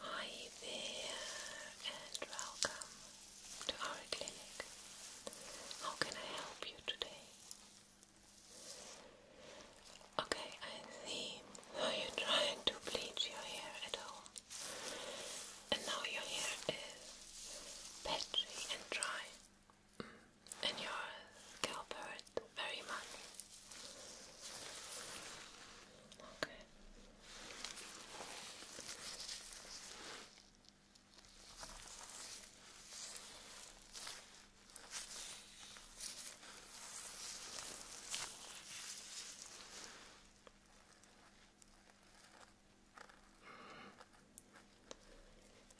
Hi there and welcome to our clinic. How can I help you today? Okay, I see. Are you trying to bleach your hair at all? And now your hair is patchy and dry. Mm, and your scalp hurts very much. Okay.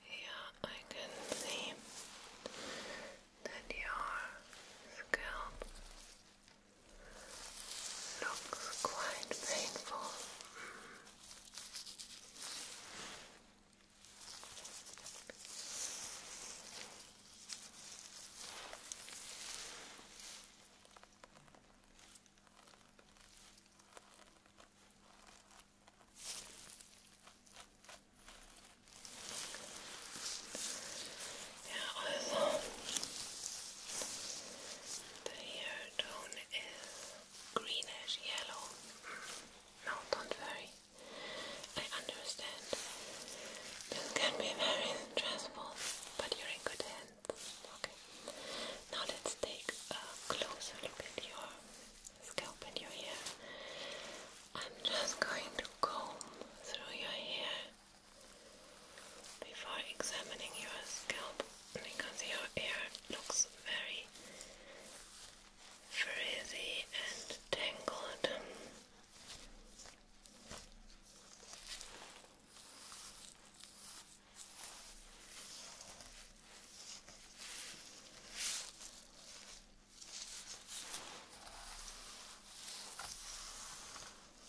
Yeah, I can see that your scalp Looks quite painful also the hair tone is greenish yellow. No, don't worry. I understand. This can be very stressful, but you're in good hands. Okay. Now let's take a closer look at your scalp and your hair. I'm just going to comb through your hair before examining your scalp because your hair looks very frizzy and tangled.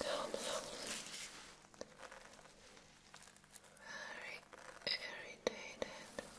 down below. Very irritated. Very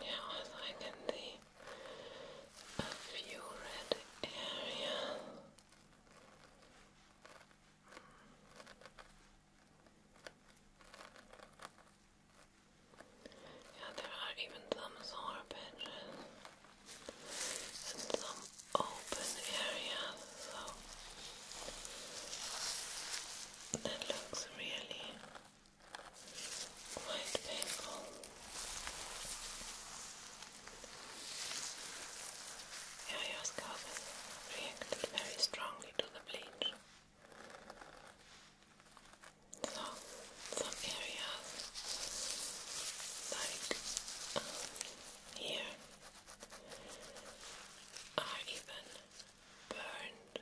Now, as I can see, a few red areas. Yeah, there are even some sore and some open areas, so that looks really quite painful your scalp reacted very strongly to the bleach. So, some areas, like um, here, are even burned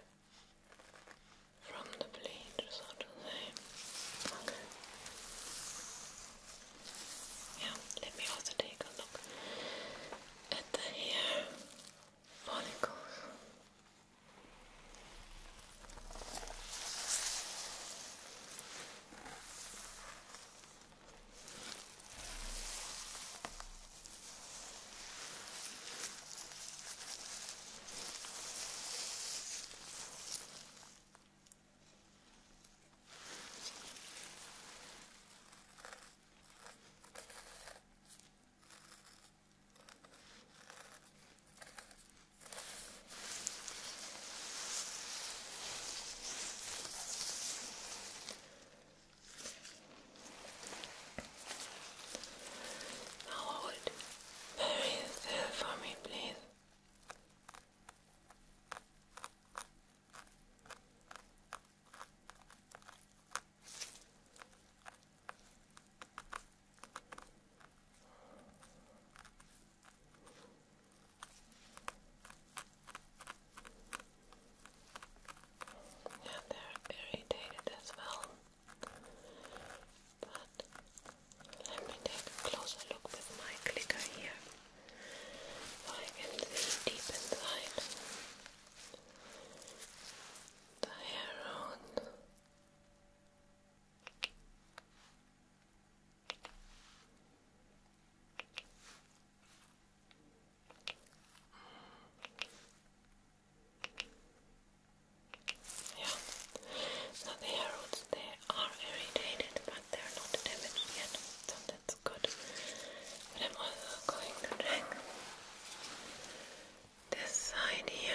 from the bleach, do they? Okay. Yeah, let me also take a look at the hair follicles. Now hold very still for me, please. Yeah, they're irritated as well, but let me take a closer look with my clicker here. I can see deep inside the hair on. Yeah. Now the hair roots they are irritated but they're not damaged yet, so that's good. But I'm also going to check this side here.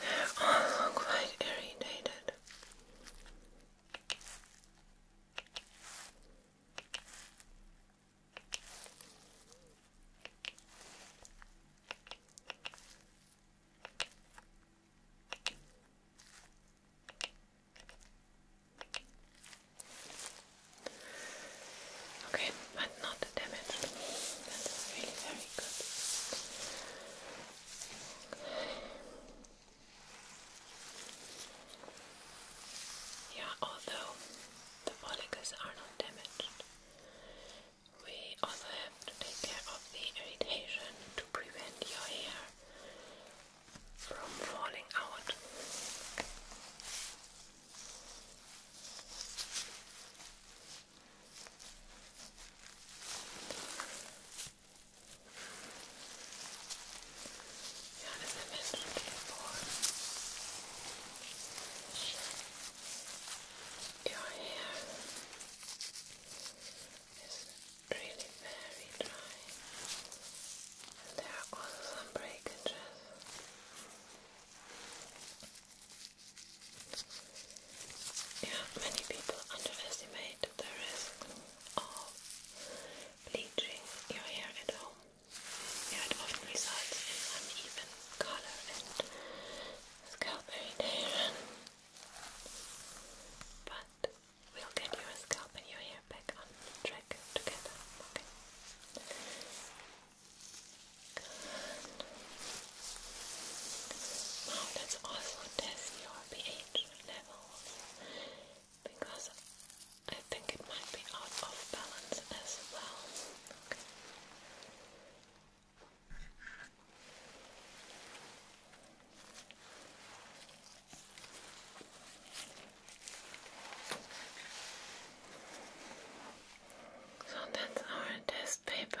They're quite irritated. Okay, but not damaged. That is really very good. Yeah, although the follicles are not damaged, we also have to take care of the irritation to prevent your hair from falling out. Down in the middle Your hair is really very dry. And there are also some breakages. many people underestimate the risk of bleaching your hair at home. Yeah, it often results in uneven color and scalp irritation. But we'll get your scalp and your hair back on track together, okay? Now let's also test your pH levels because I think it might be out of balance as well. So that's our test paper.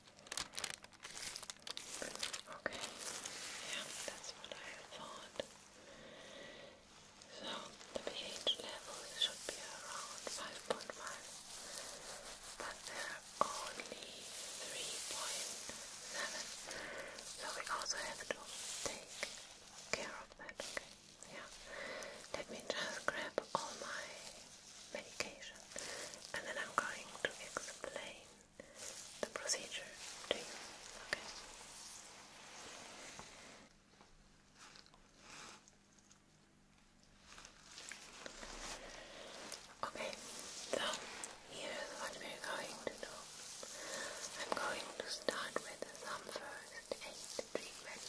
Okay, yeah, that's what I thought. So the pH level should be around 5.5, but there are only 3.7, so we also have to take care of that, okay? Yeah, let me just grab all my medication and then I'm going to explain the procedure Okay. Okay, so here's what we're going to do. I'm going to start with some first aid treatment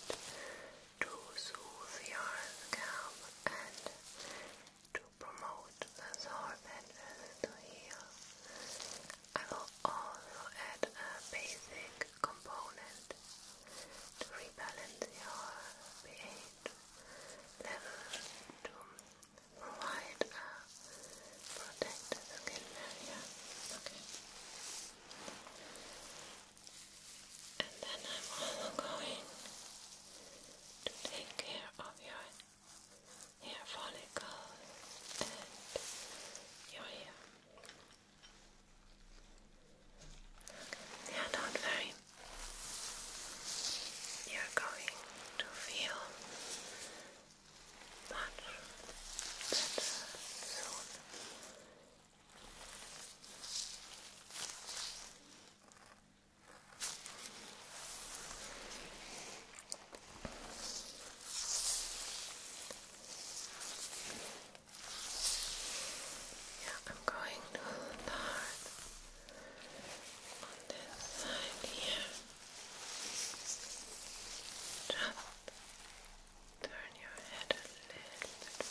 to soothe your scalp and to promote the sore patches to heal. I will also add a basic component to rebalance your pH level to provide a protected skin barrier. And then I'm also going to take care of your hair follicles and your hair. Okay. Yeah, not worry. You're going to feel much better soon. Yeah, I'm going to start on this side here. Just turn your head a little bit more.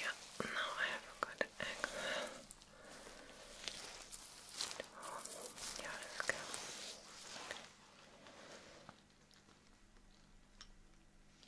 Yeah, now I have a good angle. Oh, yeah, let's go.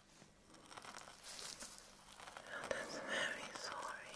And that's very sorry.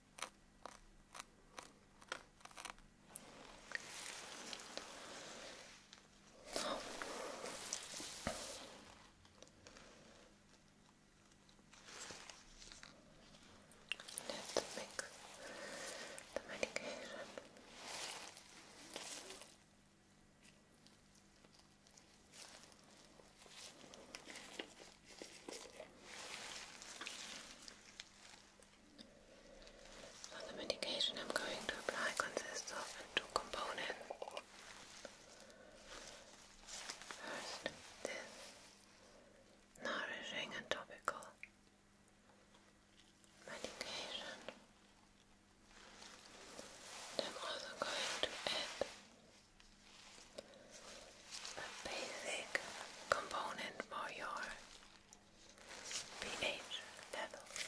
Oh. Let's mix the medication. Okay the medication I'm going to apply consists of two components. First, this nourishing and topical medication. I'm also going to add a basic component for your pH level. Good.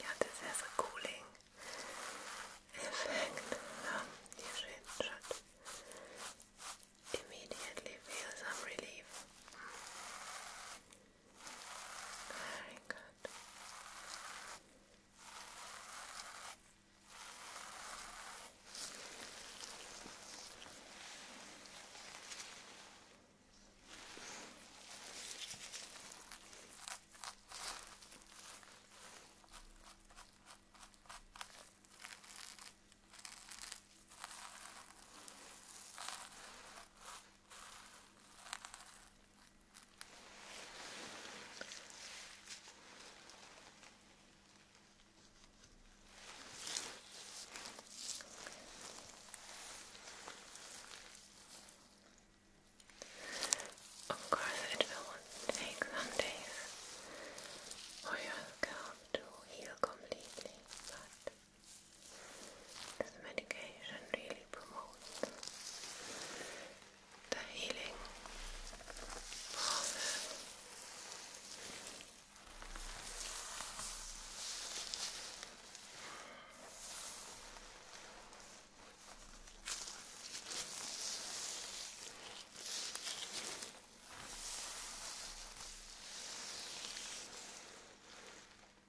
Yeah, this has effect. you should, immediately feel some relief. Very good. Very of course, oh, it will take some days for your to heal completely, but this medication really promotes the healing process.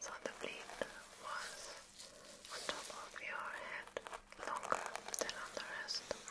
so the bleed was on top of your head longer than on the rest. Let's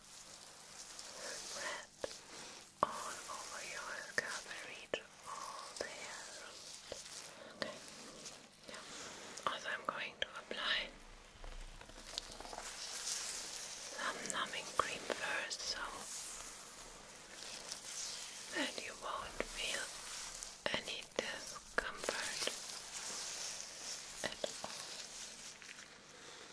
spread all over your scalp and reach all the hair Also, I'm going to apply some numbing cream first, so that you won't feel any discomfort at all.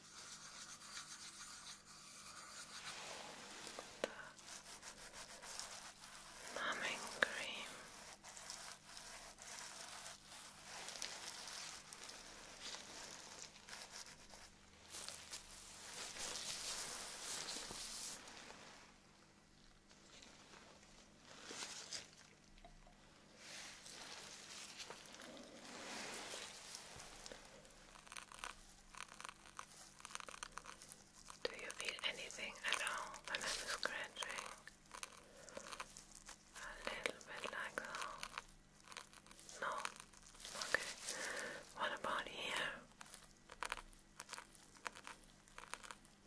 the numbing cream. Do you feel anything at all I'm scratching? A little bit like that. No? Okay. What about here?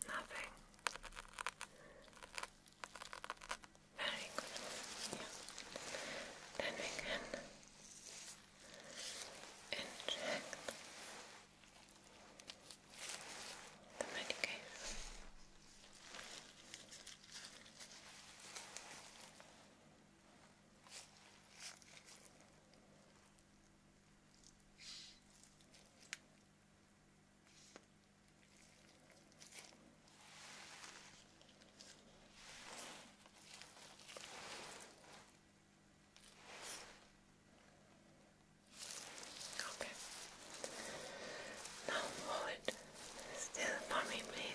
Nothing. Very good. Then we can inject the medication. Okay. Now hold still for please.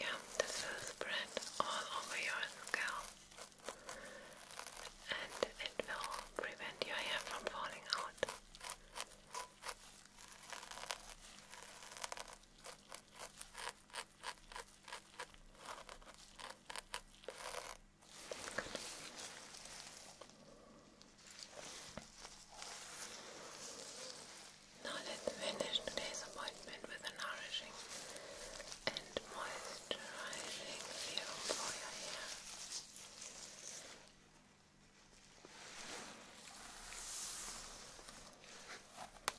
Yeah, this will spread all over your scalp and it will prevent your hair from falling out. Now let's finish today's appointment with a nourishing and moisturizing serum for your hair.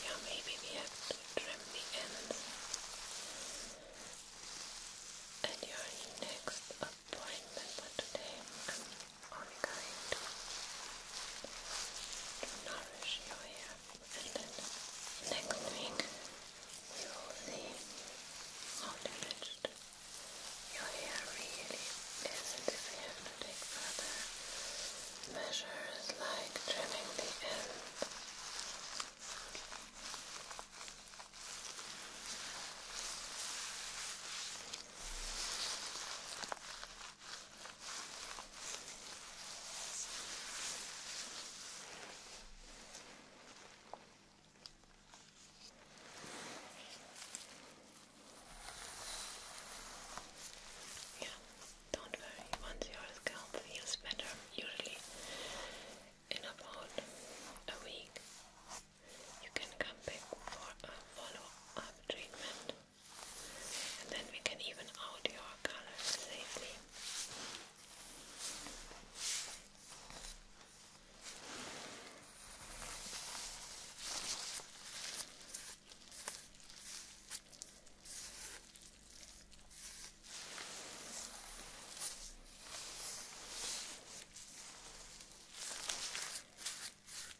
Yeah, maybe we have to trim the ends at your next appointment, but today ongoing to nourish your hair and then next week we will see how damaged your hair really is if we have further measures like trimming the end yeah, don't worry, once your scalp feels better, usually in about a week you can come back for a follow-up treatment and then we can even out your colors safely.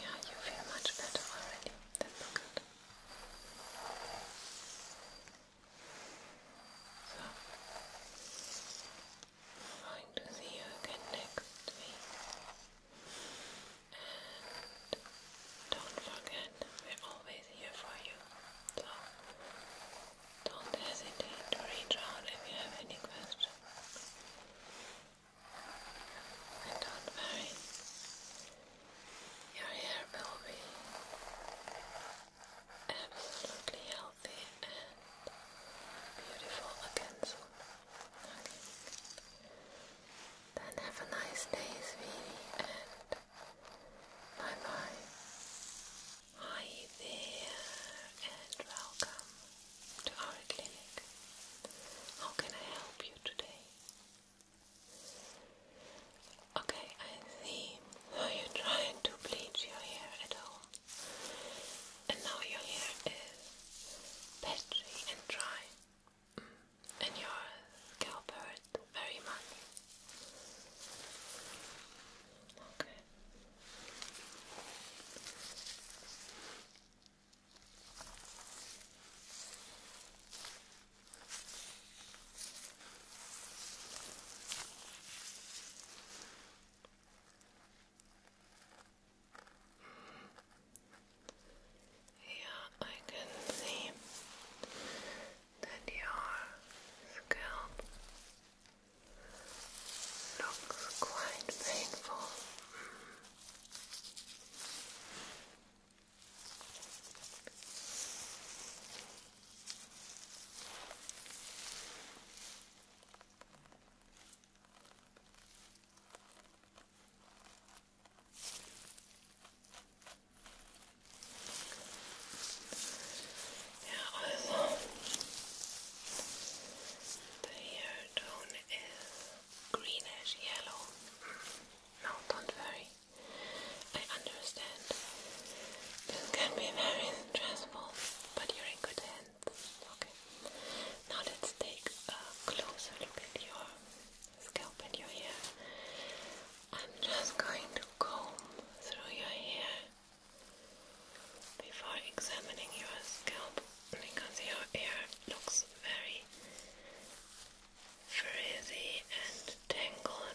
Yeah, you feel much better already. That's good. So, going to see you again next week. And don't forget, we're always here for you. So don't hesitate to reach out if you have any questions. And don't worry, your hair will be absolutely healthy and beautiful again soon. Okay. Then have a nice day, sweetie, and bye bye. Hi there, and welcome to our clinic. How can I help you today? Okay, I see. So you trying to bleach your hair at home and now your hair is patchy and dry, mm. and your scalp hurt very much. Okay. Here I can see that your scalp looks quite painful. Ja, also the hair tone is greenish yellow. No, don't worry. I understand. This can be very stressful, but you're in good hands. Okay. Now let's take a closer look at your scalp and your hair. I'm just going to comb through your hair before examining your scalp because your hair looks very frizzy and tangled.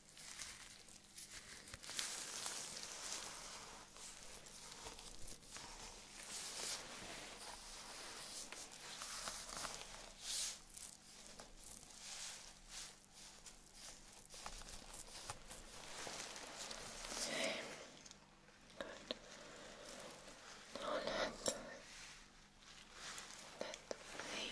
Okay. Good. Now let let me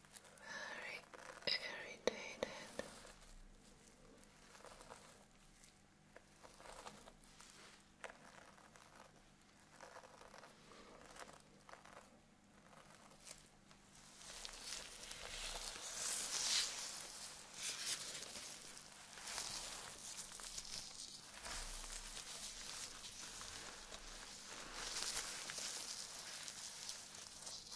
very irritated.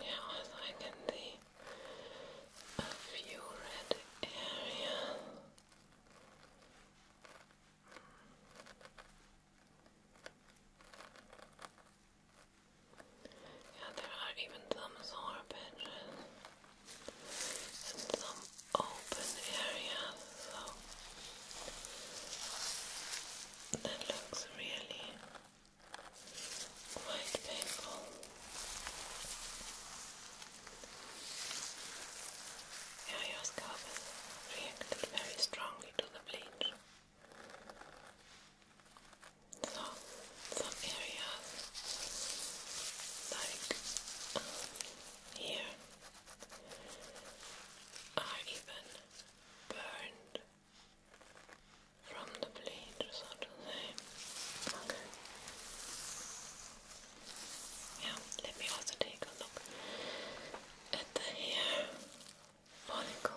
Yeah, I can see a few red areas. Yeah, there are even some sore and some open areas, so that looks really quite painful. Yeah, your scalp has reacted very strongly to the bleach. So, some areas like uh, here I even burned from the bleach, so to say. Yeah, let me also take a look at the hair follicles.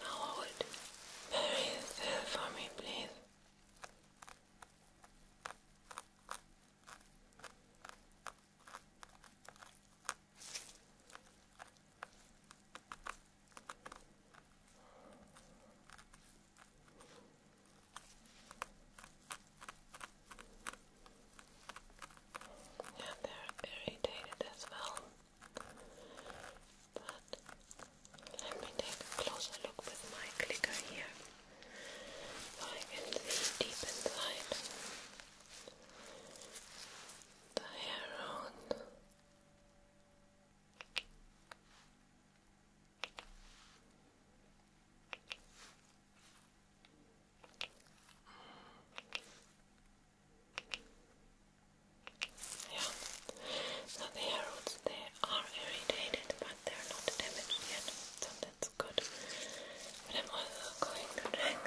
Now, I would bury for me, please. Yeah, they're irritated as well. But let me take a closer look with my clicker here I can see deep inside the hair on. Yeah. So the roads they are irritated but they're not damaged yet, so that's good. But I'm also going to check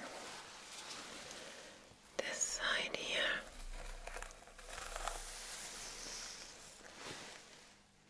this side here.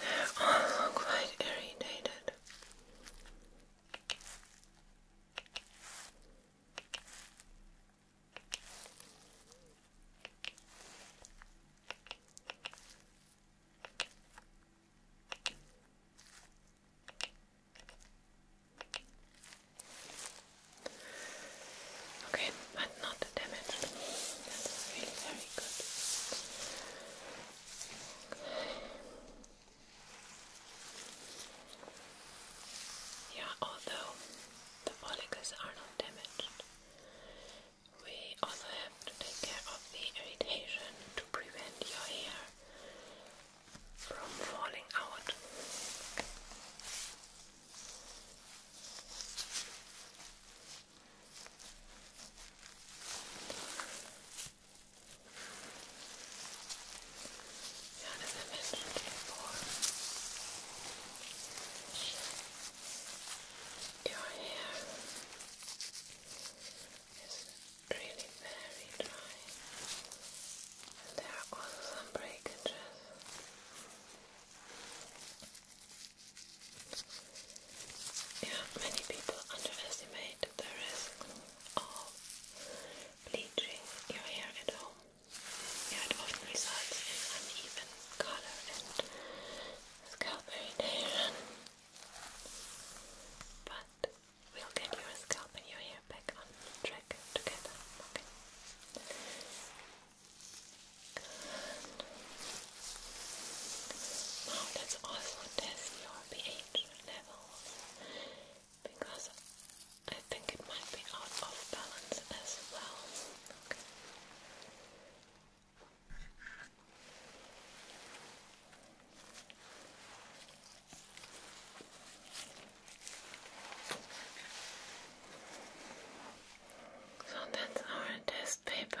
They're all quite irritated. Okay, but not damaged. Yeah, although the follicles are not damaged, we also have to take care of the irritation to prevent your hair from falling out. Yeah, as your hair is really very dry, and there are also some breakages. Yeah, many people underestimate the risk of bleaching your hair at home. it often results in uneven color and scalp irritation. But we'll get your scalp and your hair back on track together. Now let's also test your pH levels because I think it might be out of balance as well. So that's our test paper.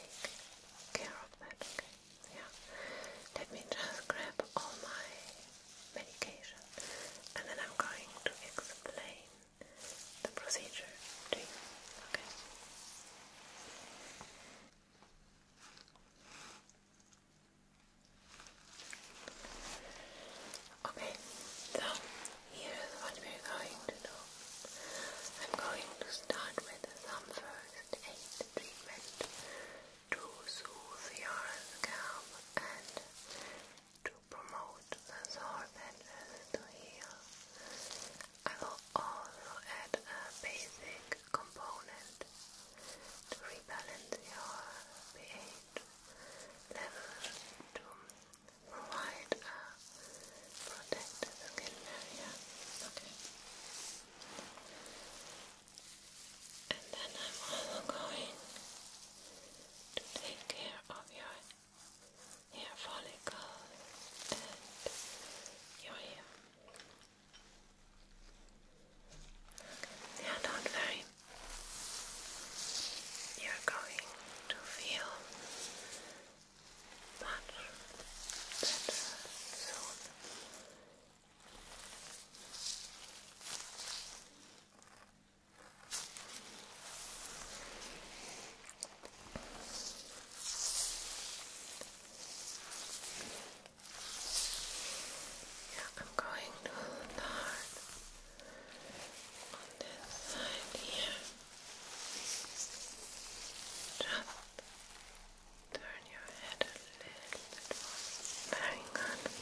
take care of that, okay? Yeah. Let me just grab all my medication and then I'm going to explain the procedure to you, okay? Okay, so Here's what we're going to do. I'm going to start with some first aid treatment to soothe your scalp and to promote the sore patches to heal. I will also add a basic component to rebalance your pH level provide a uh, protected skin barrier. And then I'm also going to take care of your hair follicles and your hair. Yeah, not worry. You're going to feel much better soon. Yeah, I'm going to start on this side just turn your head a little bit more. Very good. Very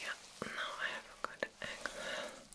yeah, now I have a good angle.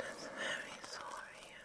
And it's very sore here.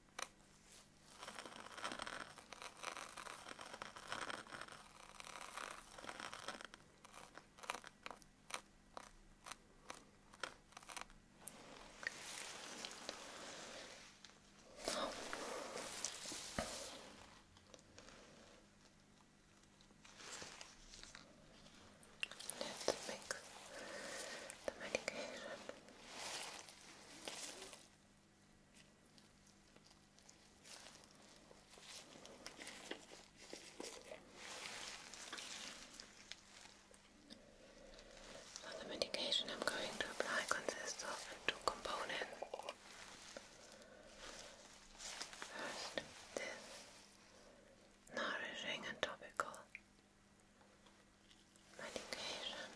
Let's mix the medication so the medication I'm going to apply consists of two components. First, this nourishing and topical medication.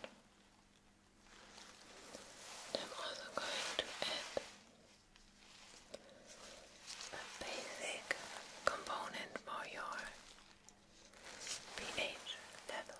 And I'm also going to add a basic component for your pH level.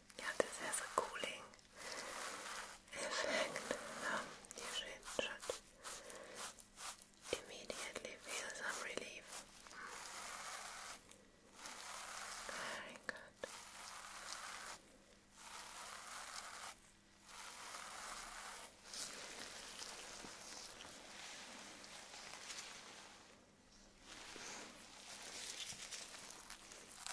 Yeah, this cooling effect. Um, you immediately feel some relief. Very good.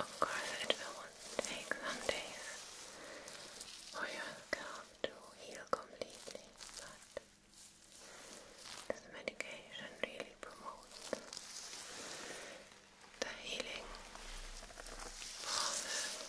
Of course, it will take some days for your scalp to heal completely, but this medication really promotes the healing process.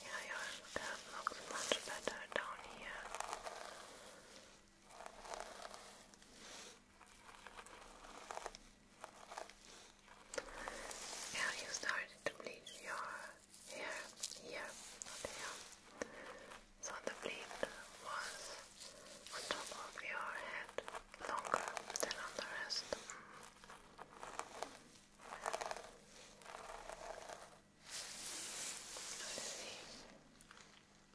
Yeah, your scalp looks much better down here. Have you started to bleach your hair here? Not here. So the bleach was on top of your head longer than on the rest. Mm. let see.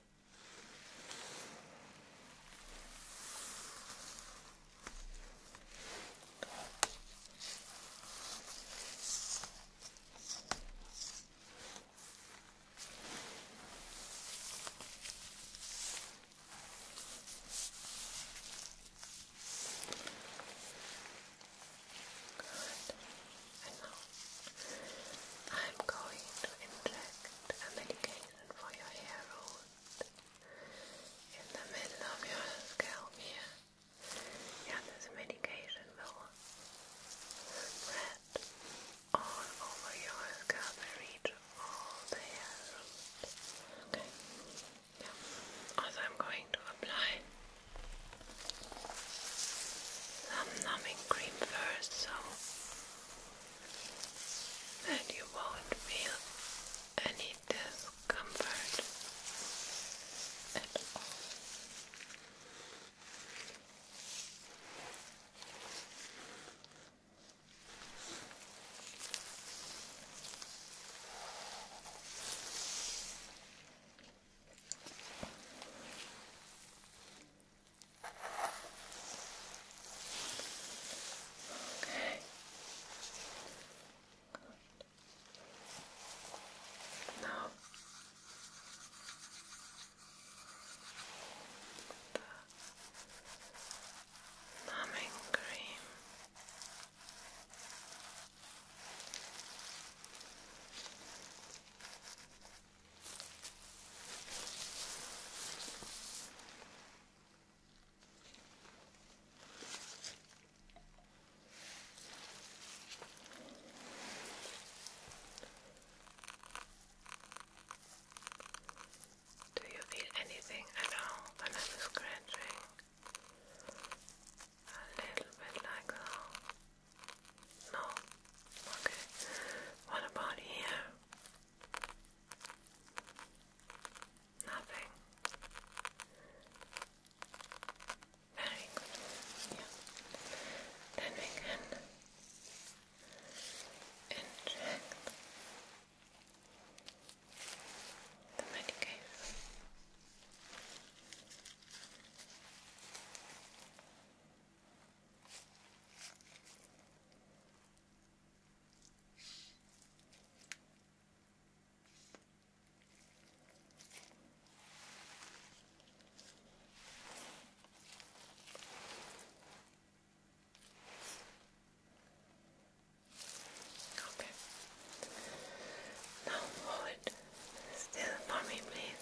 Good. And I'm going to inject a medication and for your hair root in the middle of your scalp here. Yeah, this medication will spread all over your scalp reach all the hair root. Okay. Also, I'm going to apply some numbing cream first, so and you won't feel any discomfort at all. Okay. Good. Now the numbing cream. Okay. Do you feel anything at all I'm scratching? A little bit like that. No? Okay. What about here? Nothing. Very Then we can inject the medication. Okay. Now hold still for me, please.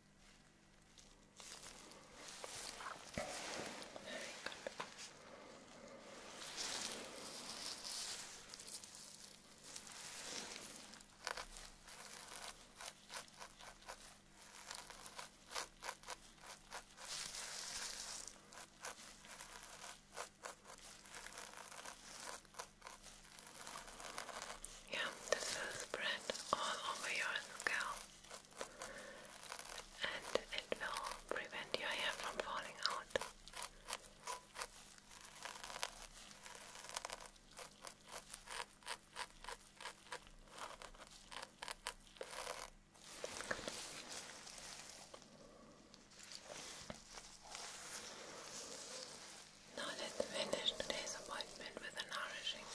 Very good. Yeah, this is spread all over your scalp and it will prevent your hair from falling out. Now let's finish today's appointment with a nourishing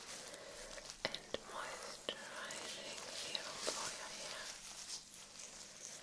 and moisturizing serum for your hair. Now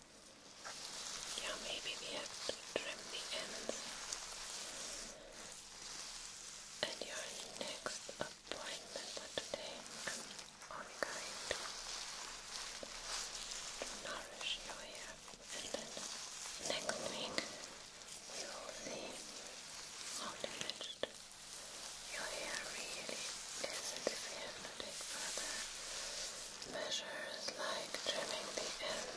Yeah, maybe we have to trim the ends. And your next appointment for today, I'm going to nourish your hair. And then next week, we will see how damaged your hair really is you to take further measures like trimming the end.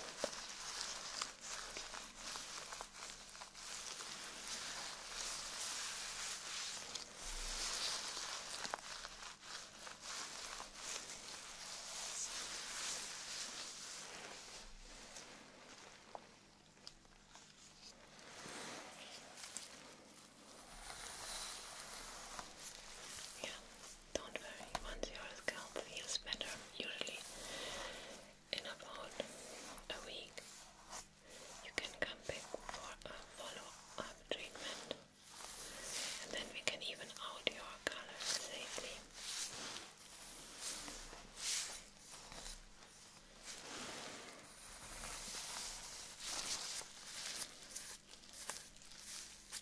Yeah, don't worry, once your scalp feels better, usually in about a week, you can come back for a follow up treatment and then we can even out your colors safely.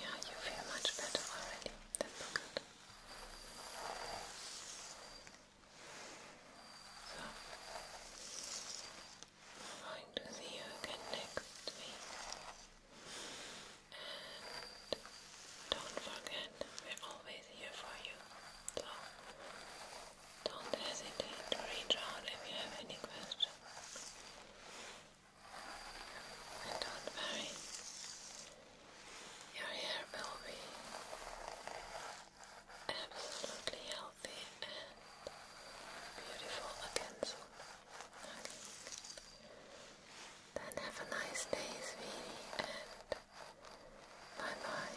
Yeah, you feel much better already. That's good. So, I'm going to see you again next week. And don't forget, we're always here for you. So, don't hesitate to reach out if you have any questions. And don't worry, your hair will be absolutely healthy and beautiful again soon. Then have a nice day, sweetie, and bye bye.